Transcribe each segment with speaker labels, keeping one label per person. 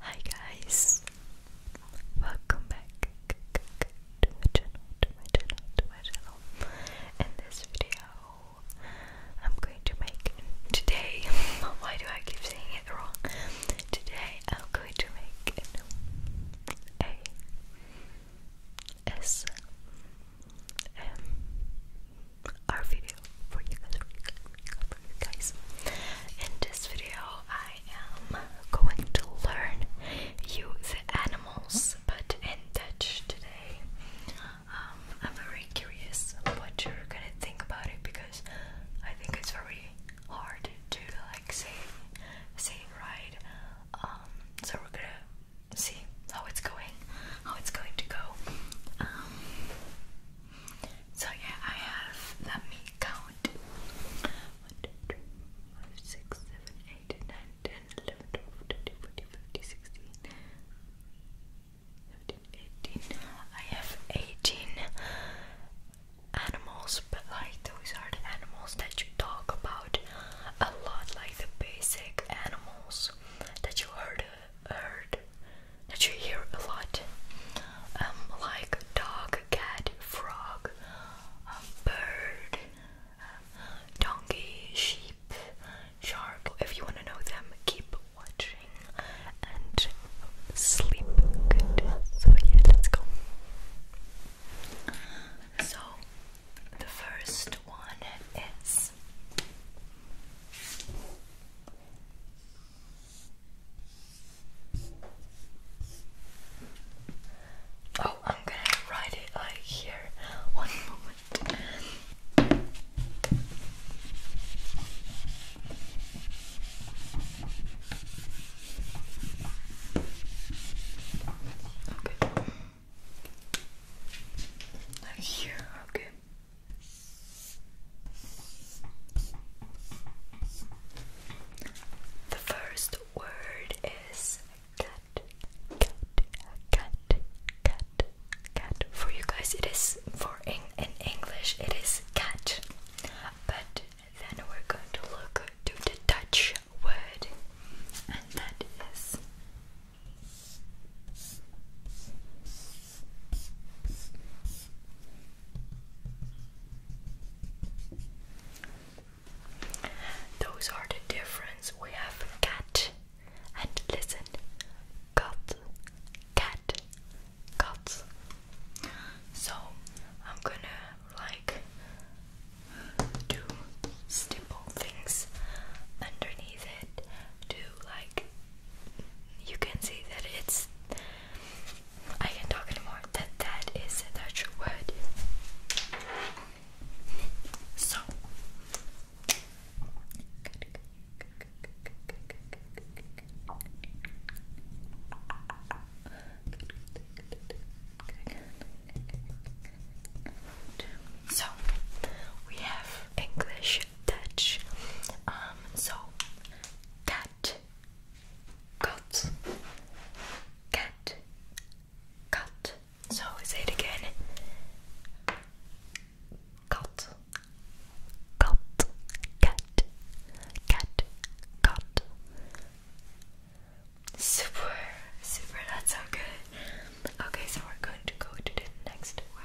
Speaker 1: Hi guys, welcome back to my channel, to my channel, to my channel. In this video, I'm going to make today. Why do I keep saying it wrong? Today, I'm going to make an a s m r video for you guys, In this video, I am going to learn you the animals, but in Dutch today. Um, I'm very curious what you're gonna think about it because I think it's very hard to like say say it right. Um, so we're gonna see how it's going, how it's going to go. Um, so yeah, I have, let me count. 1, I have 18 animals, but like those are the animals that you talk about a lot, like the basic animals that you heard, heard that you hear a lot, um, like dog, cat, frog, um, bird, um, donkey, sheep, shark. If you want to know them, keep watching and sleep good. So yeah, let's go. So the first one is. Oh, I'm gonna write it like right here. One moment. Okay. Like here, okay. The first word is cat, cat, cat, cat, cat. For you guys, it is for in, in English, it is cat. But then we're going to look to the Dutch word, and that is those are the difference. We have cat and listen. Cat, cat, cat. So I'm gonna like do simple things underneath it to like you can see that it's I can't talk anymore. That that is a true word. So so we have English touch. Um, so cat, cut, cat, cut. So say it again. Cut, cut, cat, cat, cut. Super, super. That's so good. Okay, so we're going to go to the next one.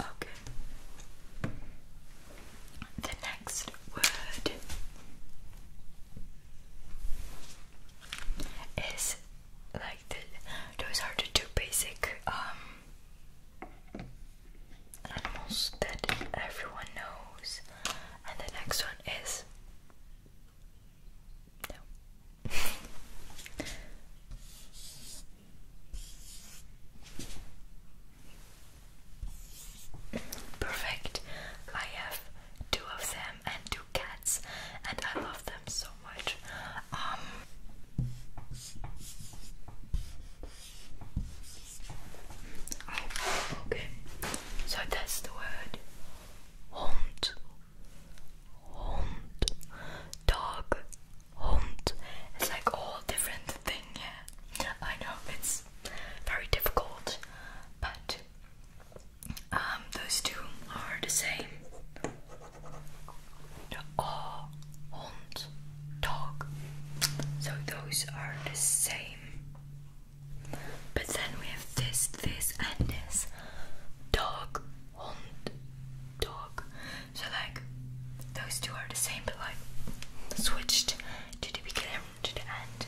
Speaker 1: Okay. The next word is like those are the two basic um, animals that everyone knows. And the next one is Perfect. I have two of them and two cats, and I love them so um, okay. So that's the word. Hond. Hond. Dog. Hond. It's like all different thing, yeah. I know it's very difficult, but um, those two are the same. Oh, Hond, Dog. So those are the same. But then we have this, this, and this. Dog, Hond, Dog. So, like, those two are the same, but like, switched to the beginning, to the end.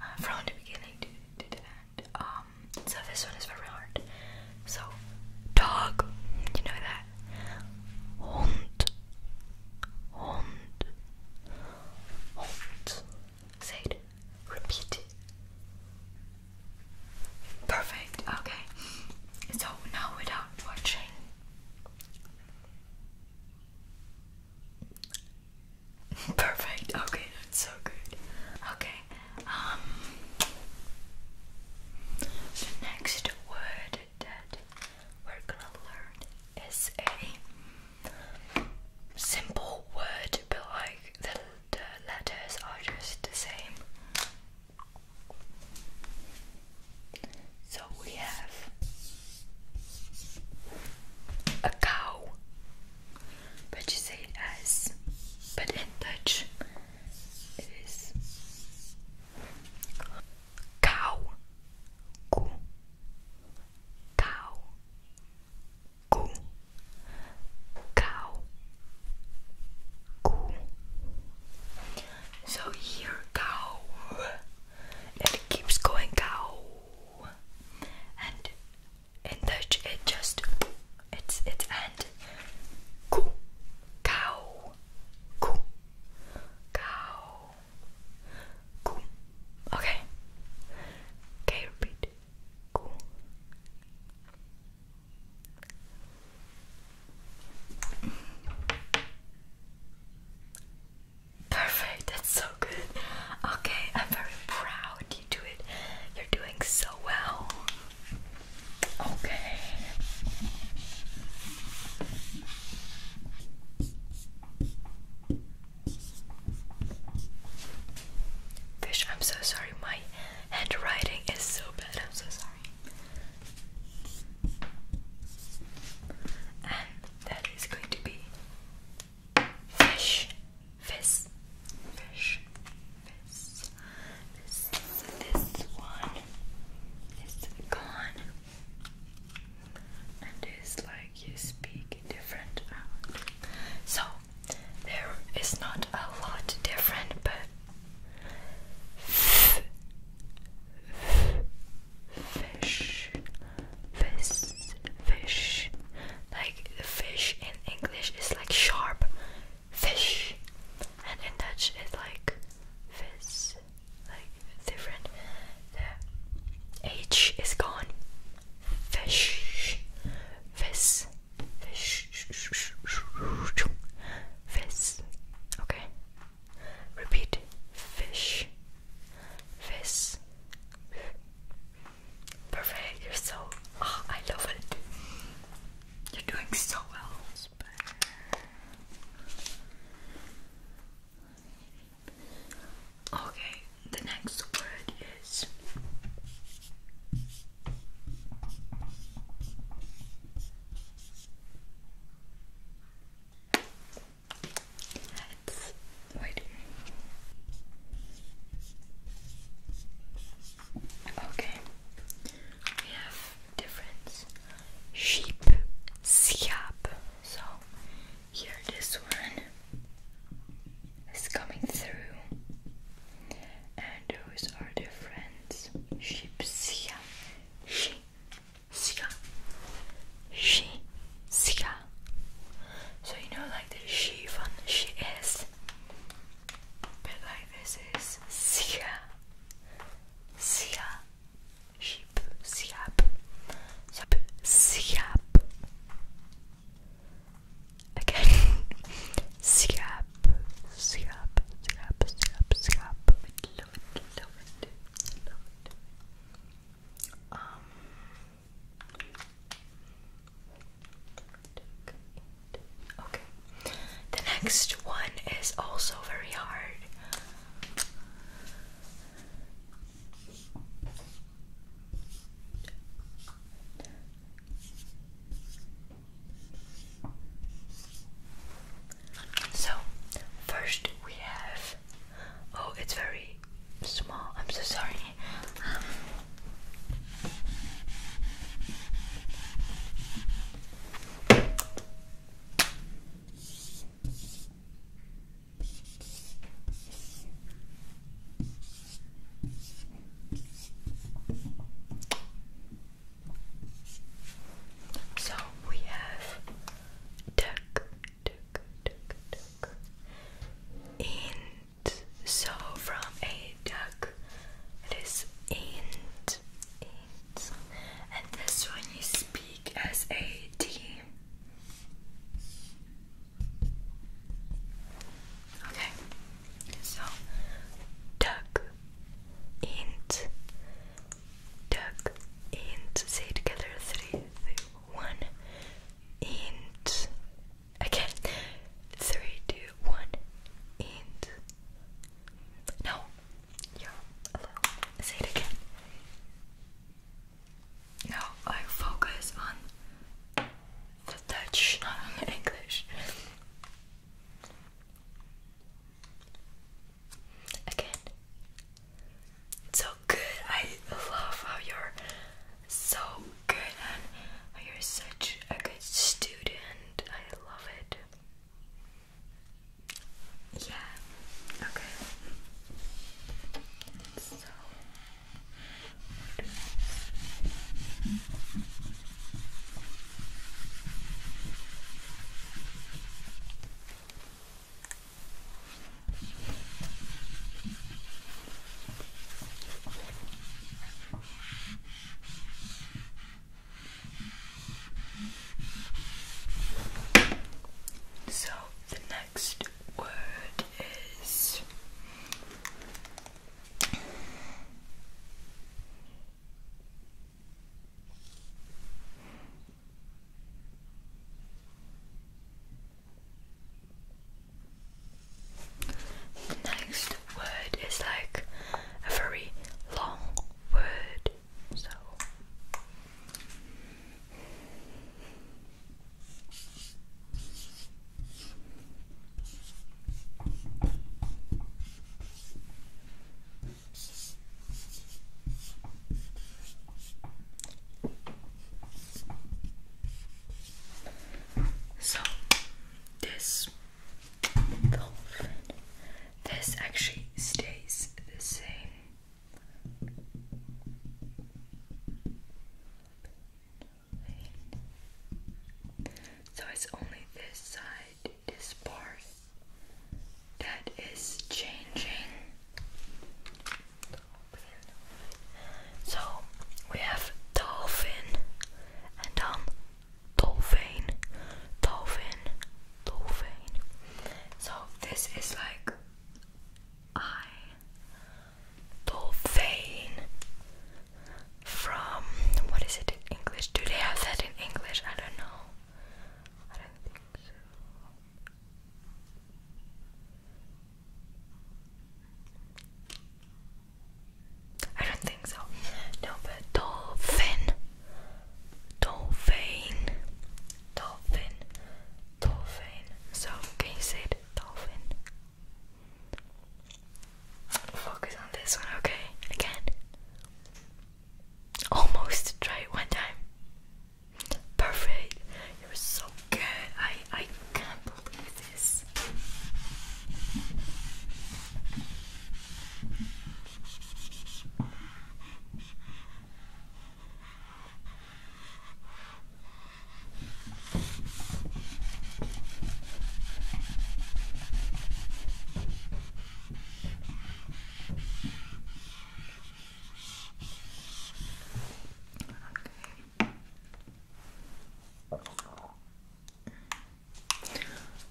Speaker 1: Uh, from the beginning to, to the end. Um, um, so this one is very hard. So, dog, you know that. Hond, hond, hond. Say it. Repeat Perfect. Okay. So now without watching. Perfect. Okay, that's so good. Okay, um, the next word that we're gonna learn is a simple word, but like the letters are just the same. So we have a cow, but you say it as, but in Dutch it is cow ku cow ku cow ku so here cow it keeps going cow and in Dutch it just it's it's and koe cow koe cow okay okay repeat koe Perfect, that's so good. Okay, I'm very proud you do it. You're doing so well. Okay. Fish, I'm so sorry. My handwriting is so bad. I'm so sorry. And that is going to be fish Fizz. Fish. Fizz. This, this one is gone. And it's like you speak different. So, there is not a lot different, but f fish, fish, fish. Like the fish in English is like sharp, fish, and in Dutch it's like vis, like different. The H is gone. Fish, vis, fish, vis. Okay. Repeat. Fish, vis, Perfect, you're so. Oh, I love it. You're doing so well. Okay, the next word is. wait. Okay, we have different sheep, siap. So here, this one is coming through, and those are different sheep, siap, she, siap, she, siap. So you know, like the she from she is. But like this is Sia Sia Sheep Siap Siap Siap Again Siap Siap Siap Siap Siap Love it love it love it Um Okay. The next one is also very hard. So, first we have. Oh, it's very small. I'm so sorry. Okay. Um, so we have duck, duck, duck, duck in so from a duck it is int, int. and this one you speak as a D okay so duck int duck int say together three, three one int Again. Three, two, one, and no, you're Say it again. No, I focus on the Dutch, not on the English. Again. It's so good. I love how your so good and oh, you're such a good student. I love it. Yeah, okay. So so the next word is the next word is like a very long word, so. So this this actually stays the same. So it's only this side, this part, that is changing. So we have dolphin and then um, dolphin, dolphin, dolphin. So this is like I dolphin from what is it in English? Do they have that in English? I don't know. I don't think so. I don't think so. No, but dolphin, dolphin, dolphin, dolphin. So can you say it? Dolphin. Focus on this one, okay? Again. Almost try it one time. Perfect. It was so good. I I can't believe this. Okay.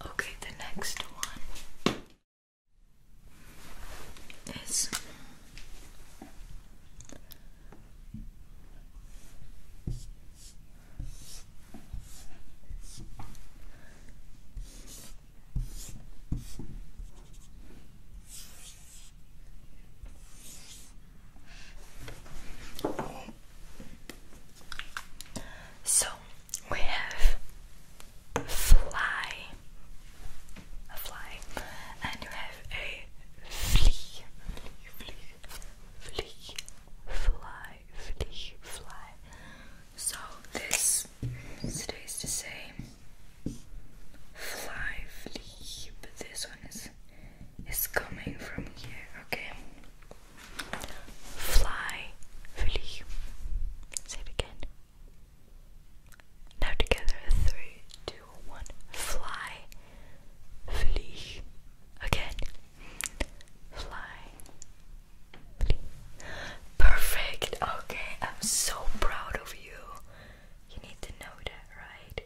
Speaker 1: Okay, the next one is so we have fly, fly, and you have a flea, flea, flea, fly, flea, fly. So this stays the same. Fly, flea, but this one is noise is coming from here, okay? Fly, flee. Say it again. Now together, three, two, one. Fly, flee. Again. Fly, flee. Perfect. Okay, I'm so proud of you. You need to know that, right?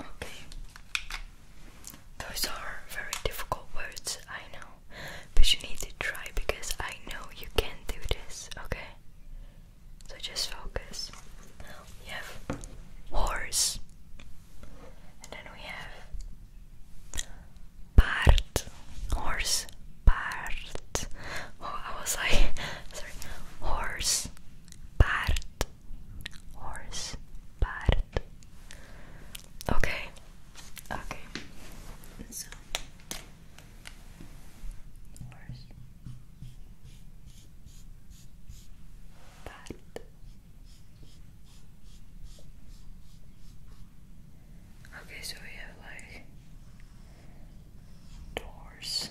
Speaker 1: Okay. Those are very difficult words, I know. But you need to try because I know you can do this, okay? So just focus. we have horse. And then we have part. Horse. Part. Oh, I was like, sorry. Horse. Part horse part. Okay, okay. So, horse part. Okay, so we have like doors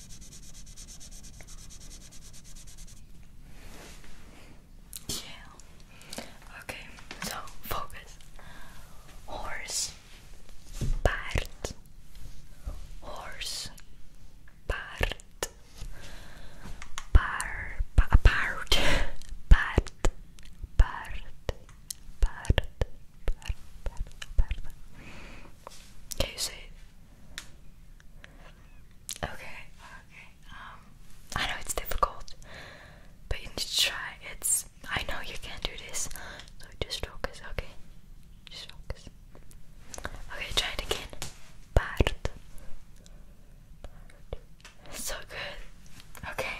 Speaker 1: Yeah. Okay, so focus. Horse part. Horse part. part, part, part, part, part, part, part, can you say it? Okay, okay. Um I know it's difficult, but you need to try. It's I know you can do this. So just focus, okay? Just focus. Okay, try it again. Part. So good. Okay.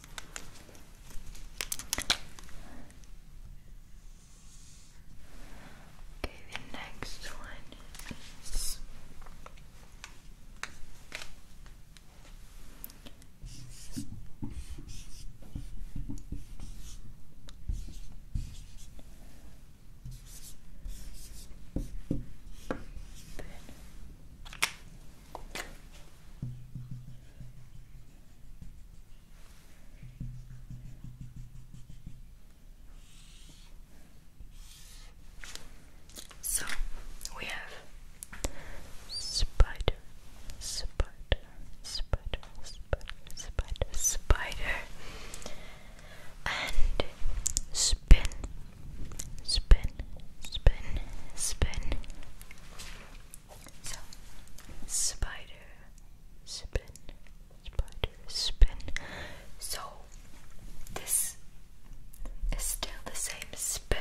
Speaker 1: Okay, the next one is so we have spider, spider, spider, spider, spider, spider, and spin, spin, spin, spin, so, spider, spin, spider, spin. So, this is still the same spin,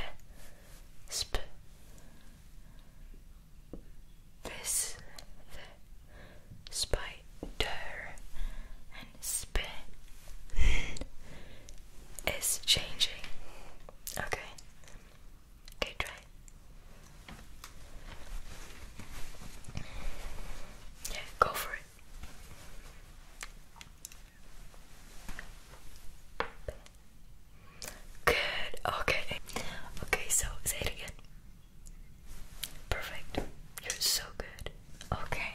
Speaker 1: spin. This, the spider, and spin is changing. Okay. Okay, try. Yeah, go for it. Good. Okay. Okay, so say it again. Perfect. You're so good. Okay.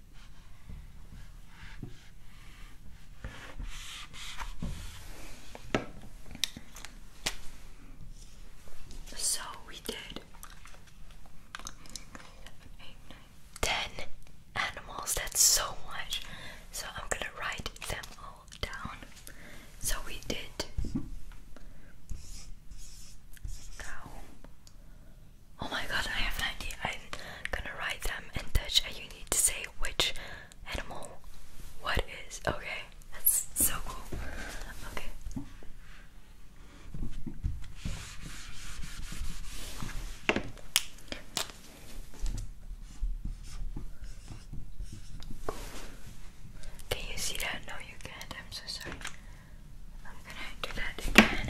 Speaker 1: So we did ten animals, that's so much. So I'm gonna write them all down. So we did Oh my god, I have an idea gonna write them in Dutch. and you need to say which animal what is. Okay, that's so cool. Okay. Can you see that? No, you can't. I'm so sorry. I'm gonna do that again.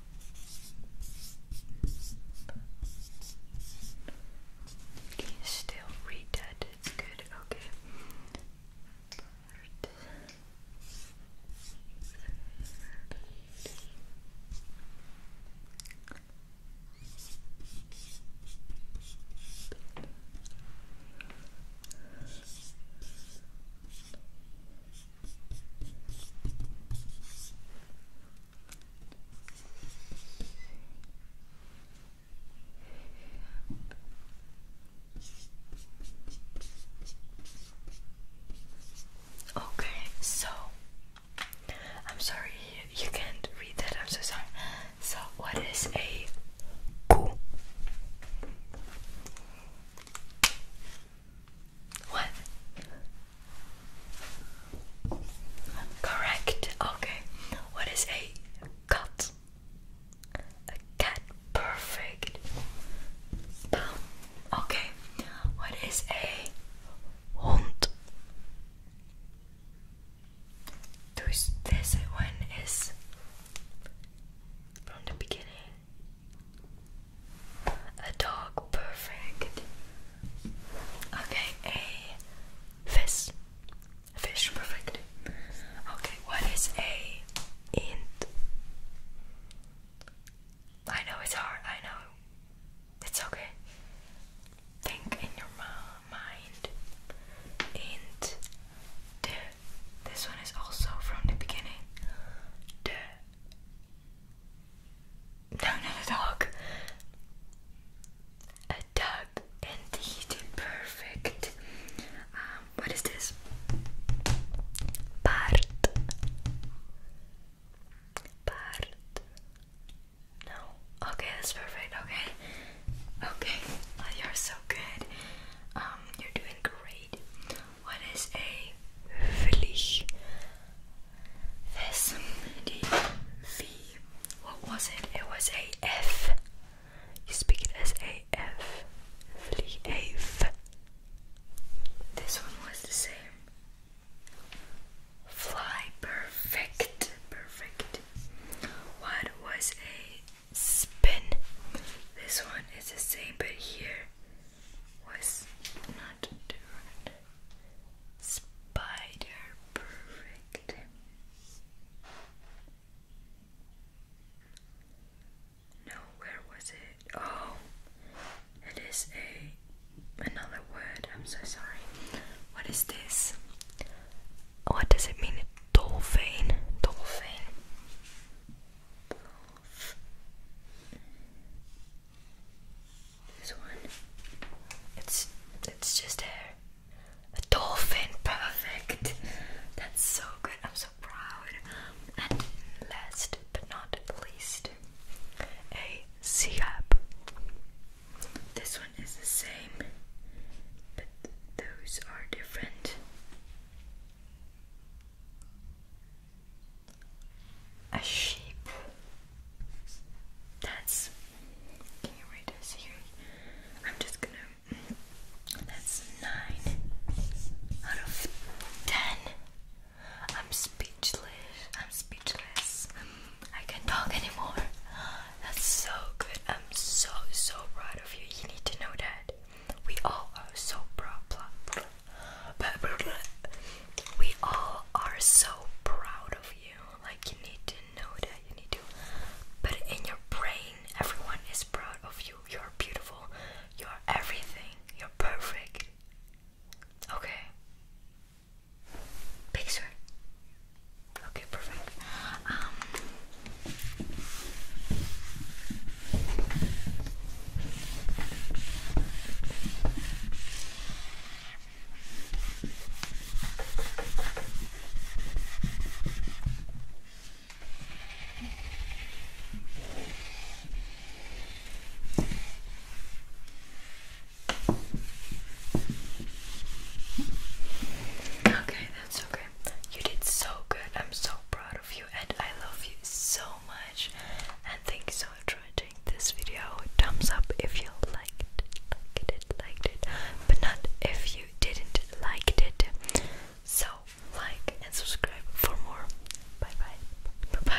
Speaker 1: Can you still read that? It's good, okay. Okay, so I'm sorry you can't read that. I'm so sorry. So, what is a coup? What? Correct. Okay. What is a cat? A cat. Perfect. Boom. Okay. What is a hond? This one is from the beginning. A dog, perfect. Okay, a fish. Fish, perfect. Okay, what is a int? I know it's hard, I know. It's okay. Think in your mind. Int. There. This one is also from the beginning. The no, a dog. A dog, indeed, perfect. Um, what is this? Part. Part. No. Okay, that's perfect. Okay. Okay. you're so good. Um, you're doing great. What is a What was it? It was a F. You speak it as a F. Vlieg a F. This one was the same. Fly perfect, perfect. What was a spin. This one is the same, but here was not Spider perfect. No, was it? Oh, it is a another word. I'm so sorry. What is this? What does it mean? Dolphin. Dolphin this one it's it's just hair. a dolphin perfect that's so good I'm so proud and last but not least a sea up this one is the same but those are different a sheep. That's. I'm just gonna. That's nine out of ten. I'm speechless. I'm speechless. I can't talk anymore. That's so good. I'm so so proud of you. You need to know that. We all are so proud. We all are so proud of you. Like you need to know that you need to put in your brain. Everyone is proud of you. You're beautiful. You're everything. You're perfect. Okay. Picture. Okay, perfect. Um Okay, that's okay. You did so good. I'm so proud and I love you so much. And thank you so much for watching this video. Thumbs up if you liked it, liked it, liked it, but not if you didn't like it. So like and subscribe for more. bye. Bye bye.